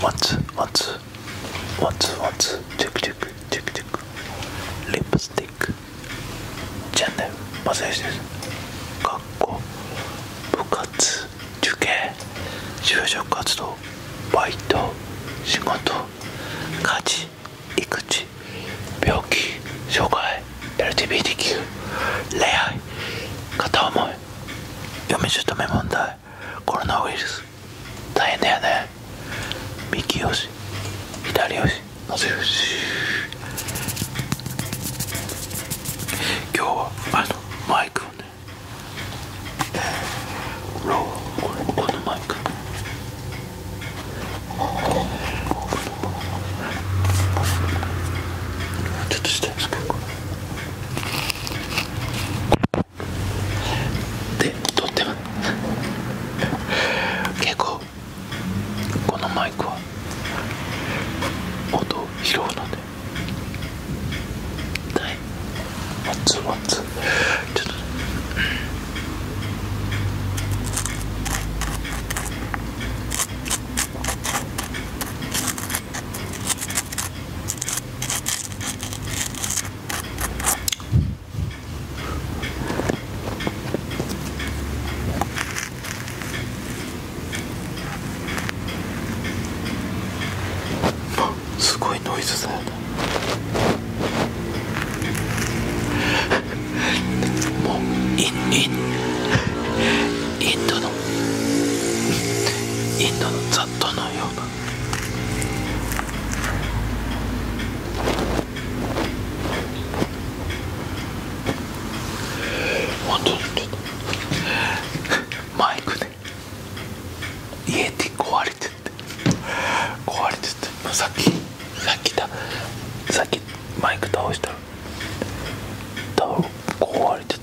What's what's what's what's check check check check lipstick チャンネルマサヨシです学校部活受験就職活動バイト仕事家事育児病気障害 LGBTQ 恋愛片思い嫁姑問題コロナウイルス大変だよね右よし左よしのせよし今日はあのマイクをねローこのマイクちょっとしたんですけどでとっても。結構このマイクは音を拾うのではいワッツワッツちょっとすごいノイズだよねもうインインインドの インドの雑踏のような本当にちょっとマイクで家で壊れてて壊れてってさっきさっきさっきマイク倒したら倒壊れてて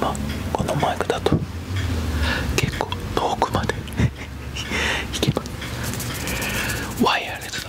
まあこのマイクだと結構遠くまでい けばワイヤレス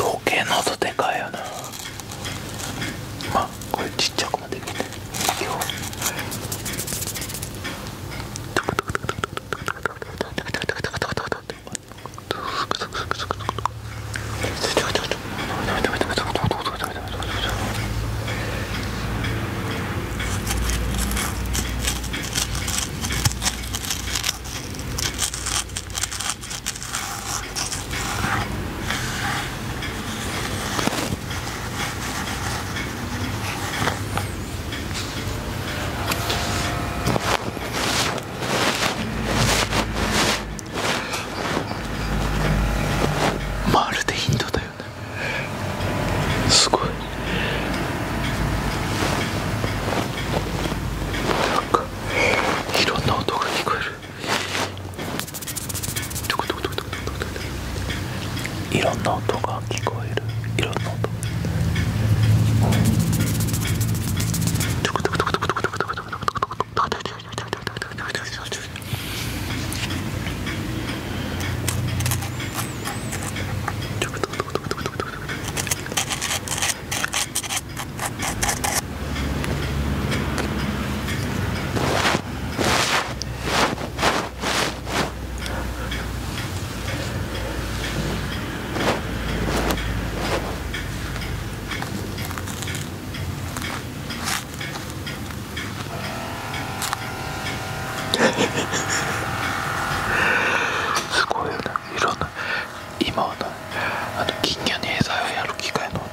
ど計喉でかいよなまあこれちっちゃくもできなよまるでンだよね。すごい。か、いろんな音が聞こえるいろんな音が聞こえるいろんな音すごいよねいろんな今はなあと金魚に餌をやる機械の音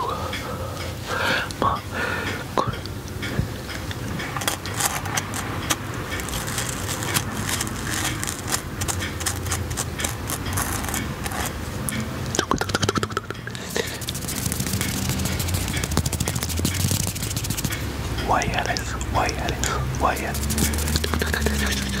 音がまあこれ。トクトクトクトクトク Why Alex? Why Alex? Why Alex?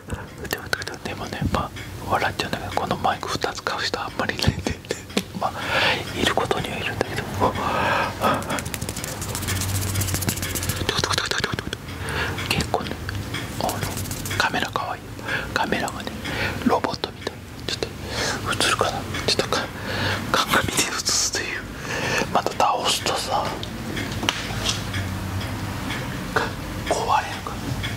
でもでもねま笑っちゃうんだけどこのマイク2つ買う人あんまりいないんでまあいることにはいるんだけど結構ねカメラかわいいカメラがねロボットみたいちょっと映るかなちょっとか鏡で映すというまた倒すとさ壊れるから。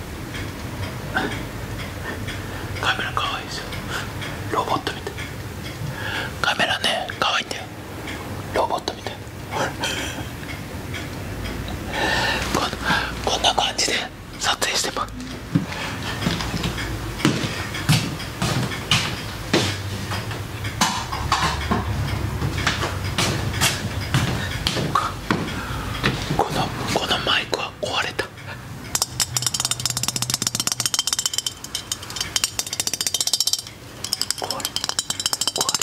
カメラ可愛いですよロボットみたいカメラね可愛いんだよロボットみたいこんな感じで撮影してますこのこのマイクは壊れた壊れ壊れ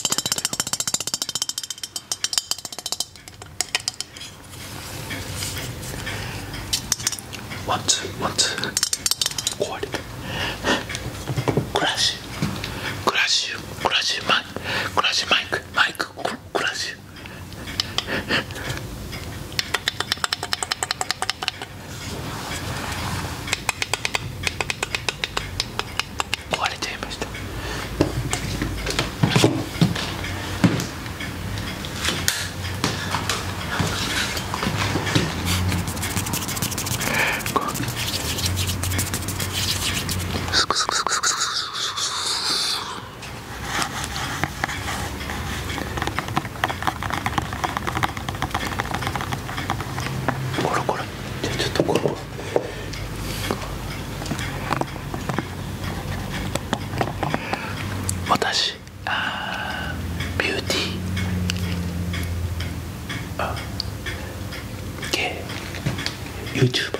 ちゃったよ壊れたクラッシュクラッシュクラッシュマイクマイククすくすくすくすくすくこれこれじゃちょっとこれ私あビューティーあ OK y o u t u b e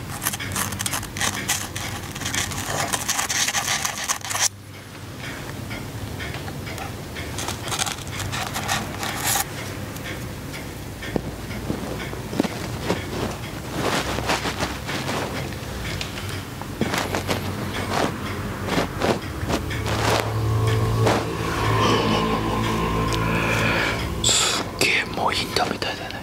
すっげえもういンドみたいだね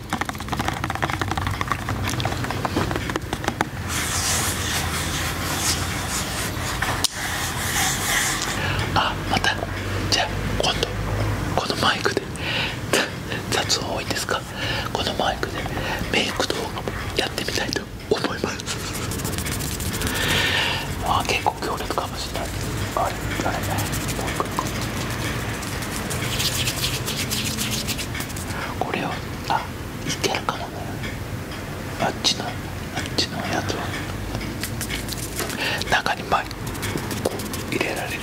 あまたじゃあ今度このマイクで 雑音多いですかこのマイクでメイク動画もやってみたいと思いますあ結構強烈かもしれないあれあれねこれをあいけるかもあっちのあっちのやつは中にまい。こう入れられる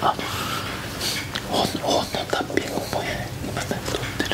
あっ本のタッピングもね今ね撮ってる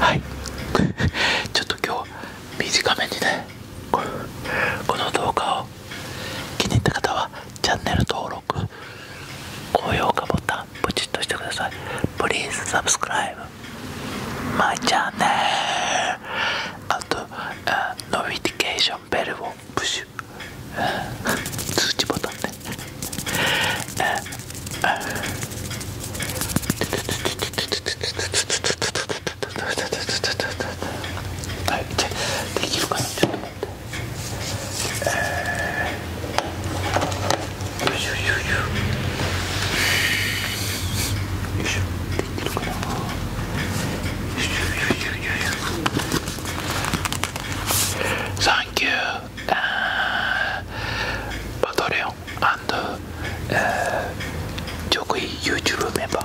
はい ちょっと今日短めにねこの動画を気に入った方はチャンネル登録高評価ボタンポチッとしてください Please subscribe my channel and n o t i f i c a t i をプッシュ通知ボタンで。はいじゃあできるかなちょっと待いし and uh, Jokoy YouTube member.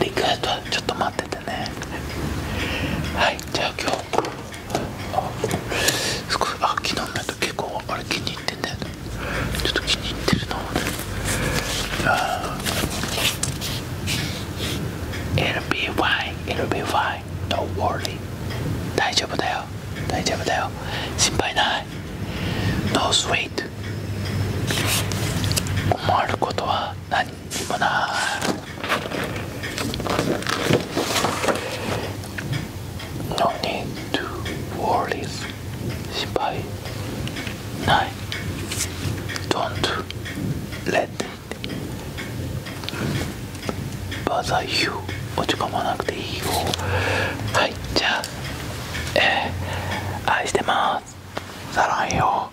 リクエストはちょっと待っててねはいじゃあ今日すごあ昨日のやつ結構あれ気に入ってんだよねちょっと気に入ってるのあ i l b Y.。l be n o worry 大丈夫だよ大丈夫だよ心配ない No sweet 困ることは何 No Gimana? 行こうなノーニートゥーォーリーズ心配ない Don't let it bother you 落ち込まなくていいよはいじゃあえー、愛してますさらんよ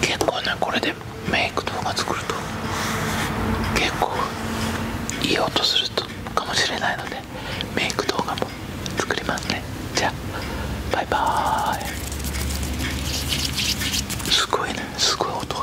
結構ねこれでメイク動画作ると結構いい音するとかもしれないのでメイク動画も作りますねじゃあバイバーイすごいねすごい音が。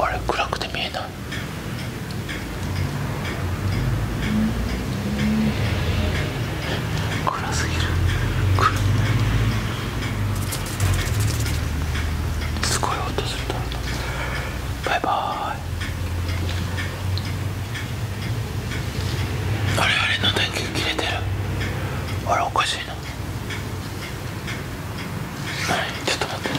あれ暗くて見えない暗すぎるすごい音するだろバイバーイあれあれの電源切れてるあれおかしいなちょっと待ってあ。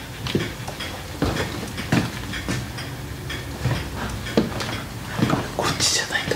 こっちじゃないんだ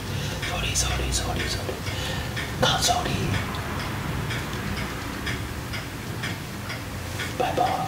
sorry sorry sorry sorry not sorry bye bye